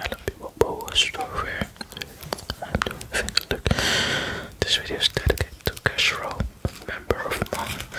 Hello people, Bo I'm doing a look. This video is dedicated to Cashrow, member of mine.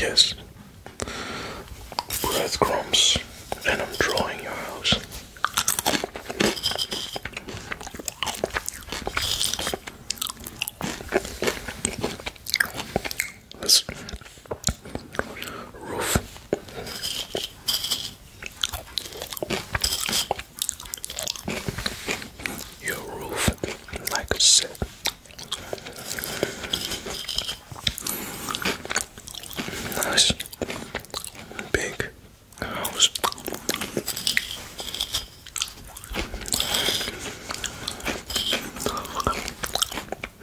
Yes, Bread crumbs, and I'm drawing your house. This roof your roof like I said nice big house.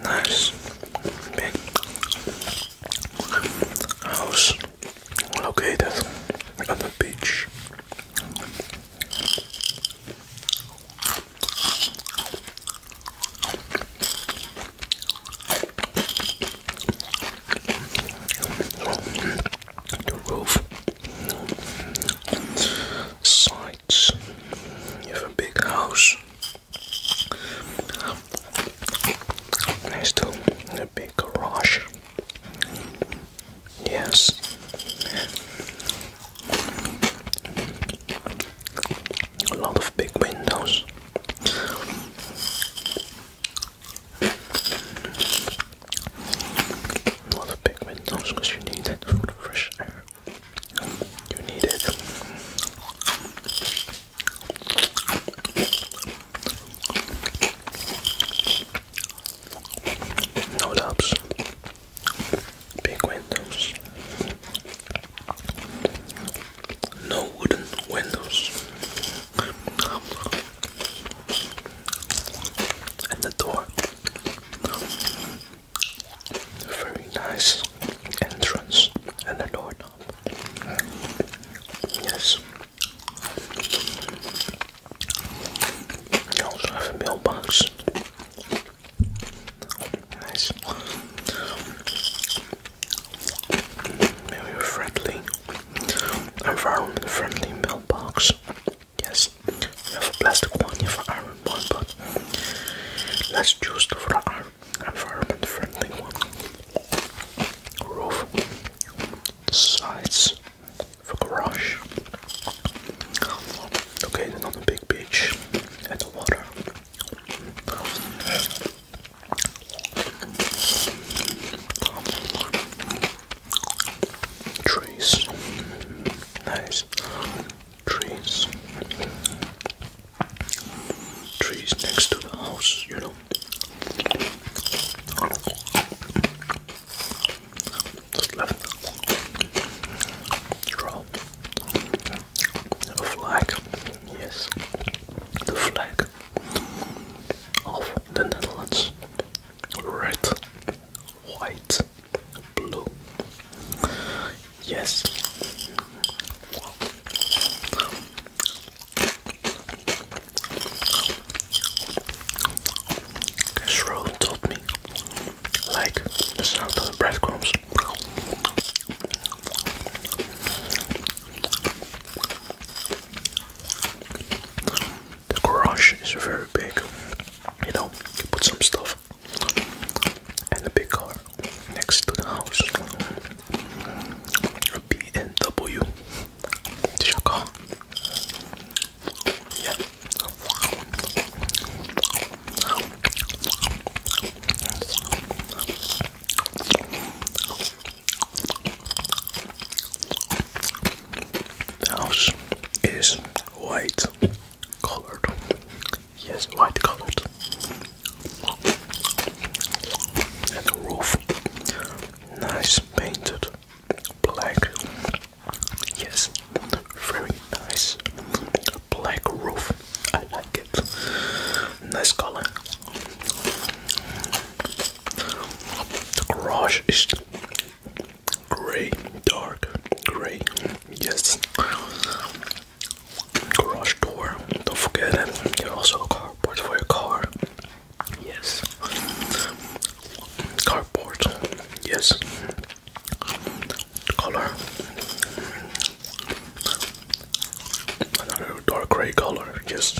Nice big house located on the beach the roof sides you have a big house next to a big garage yes a lot of big windows not a big windows you need it for the fresh air. You need it. No doubts. Big windows. No wooden windows and the door. Very nice entrance and the door. Yes. You also have mailbox. Nice. Very friendly. Environment friendly mailbox. Yes, we have a plastic one have an iron one, but let's choose for the environment friendly one. Roof, sides, for garage. Located not a big beach and the water. Trees, nice trees, trees next to the house, you know. Just A flag, yes, the flag of the Netherlands. Red, white, blue. Yes. Shrew told me, like the sound of the breadcrumbs. The garage is very big. You know, you put some stuff and the big car next to the house. A BMW. Did you the house is white colored. Yes, white colored. And roof, nice painted black. Yes, very nice black roof. I like it. Nice color. The garage is gray, dark, gray. Yes. Garage door. Don't forget it. also cardboard for your car. Yes. Cardboard. Yes. Color. Another dark gray color. Yes.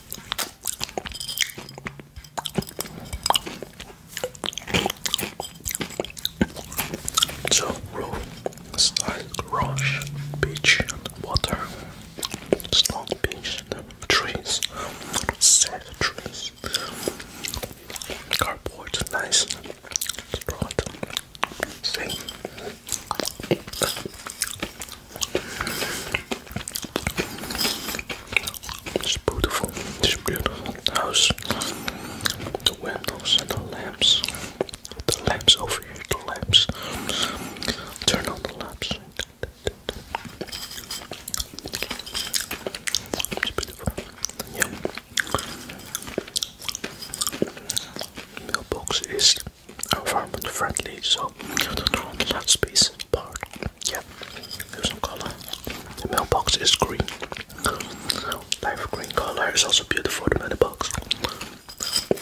So roll style rush, beach water, strong beach trees, sad trees, cardboard, nice, strong, same. It's beautiful. It's beautiful house. The windows and the lamps. The lamps over here. The lamps. Turn on the lamps. It's beautiful. Yeah. Mailbox is environment friendly, so that's space. Yeah, there's some color. The mailbox is green. Life green color is also beautiful. The mailbox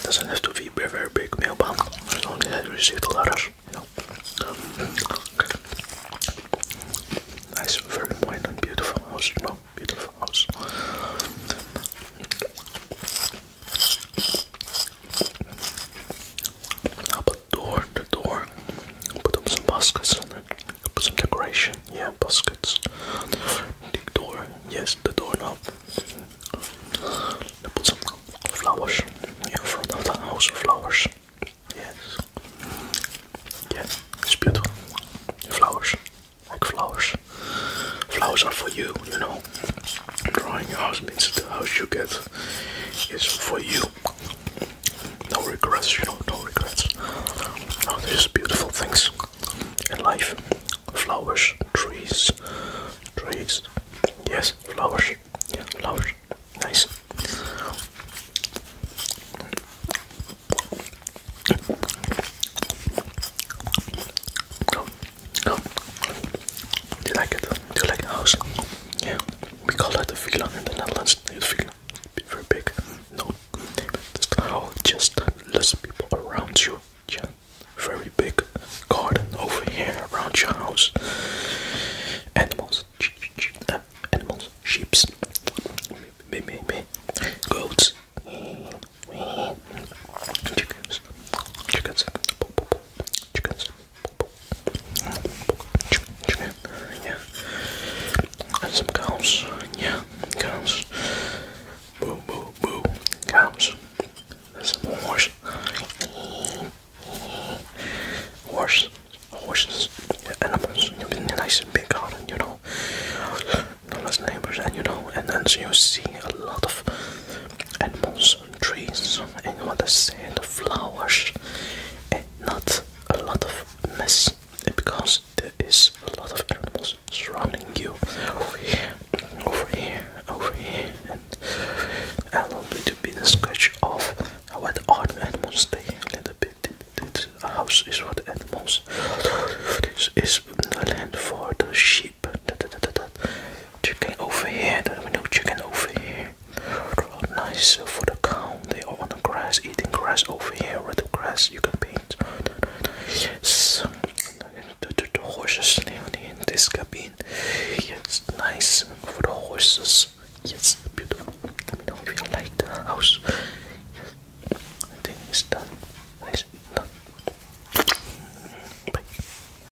doesn't have to be a very big mailbox. As long received letters, Nice, very white and beautiful house, you know, beautiful house i the door the door. Put up some baskets on it. Put some decoration. Yeah, baskets. The door. Yes, the doorknob. Then put some flowers. Yeah, front of the house, flowers. Yes. Yeah, it's beautiful. Flowers. flowers. Flowers are for you, you know. Drawing house means the house you get is for you. No regrets, you know, no regrets. Oh, there's beautiful things in life. Flowers, trees, trees. Yes, flowers. flowers. Nice. Do you like it? Do you like the house? Yeah, we call that the Vila in the Netherlands. It's Vila, very big. No, it's the house, just less people around you. Yeah, very big garden over here around your house. Animals, uh, animals, sheeps, me, me, me, goats, chickens, chickens chicken, yeah, and some cows, yeah, cows, boo, boo, boo, cows, and some horse, horse, horses, animals, you be nice and big out, and you know, not as neighbors, and you know, and then so you see a lot of animals rocks and trees and you understand flowers and not a lot of mess because there is a lot of animals surrounding you over here, over here, over here and a little bit to be the sketch of what are the animals they a little bit the house is for the animals this is the land for the sheep Chicken over here. There's no chicken over here. Nice for the cow. They are on the grass, eating grass over here. the grass you can paint. Yes. The, the, the in this cabin. Yes, nice for the horses. Yes, beautiful. Let me know if you like the house. Yes. I think it's done. It's Bye.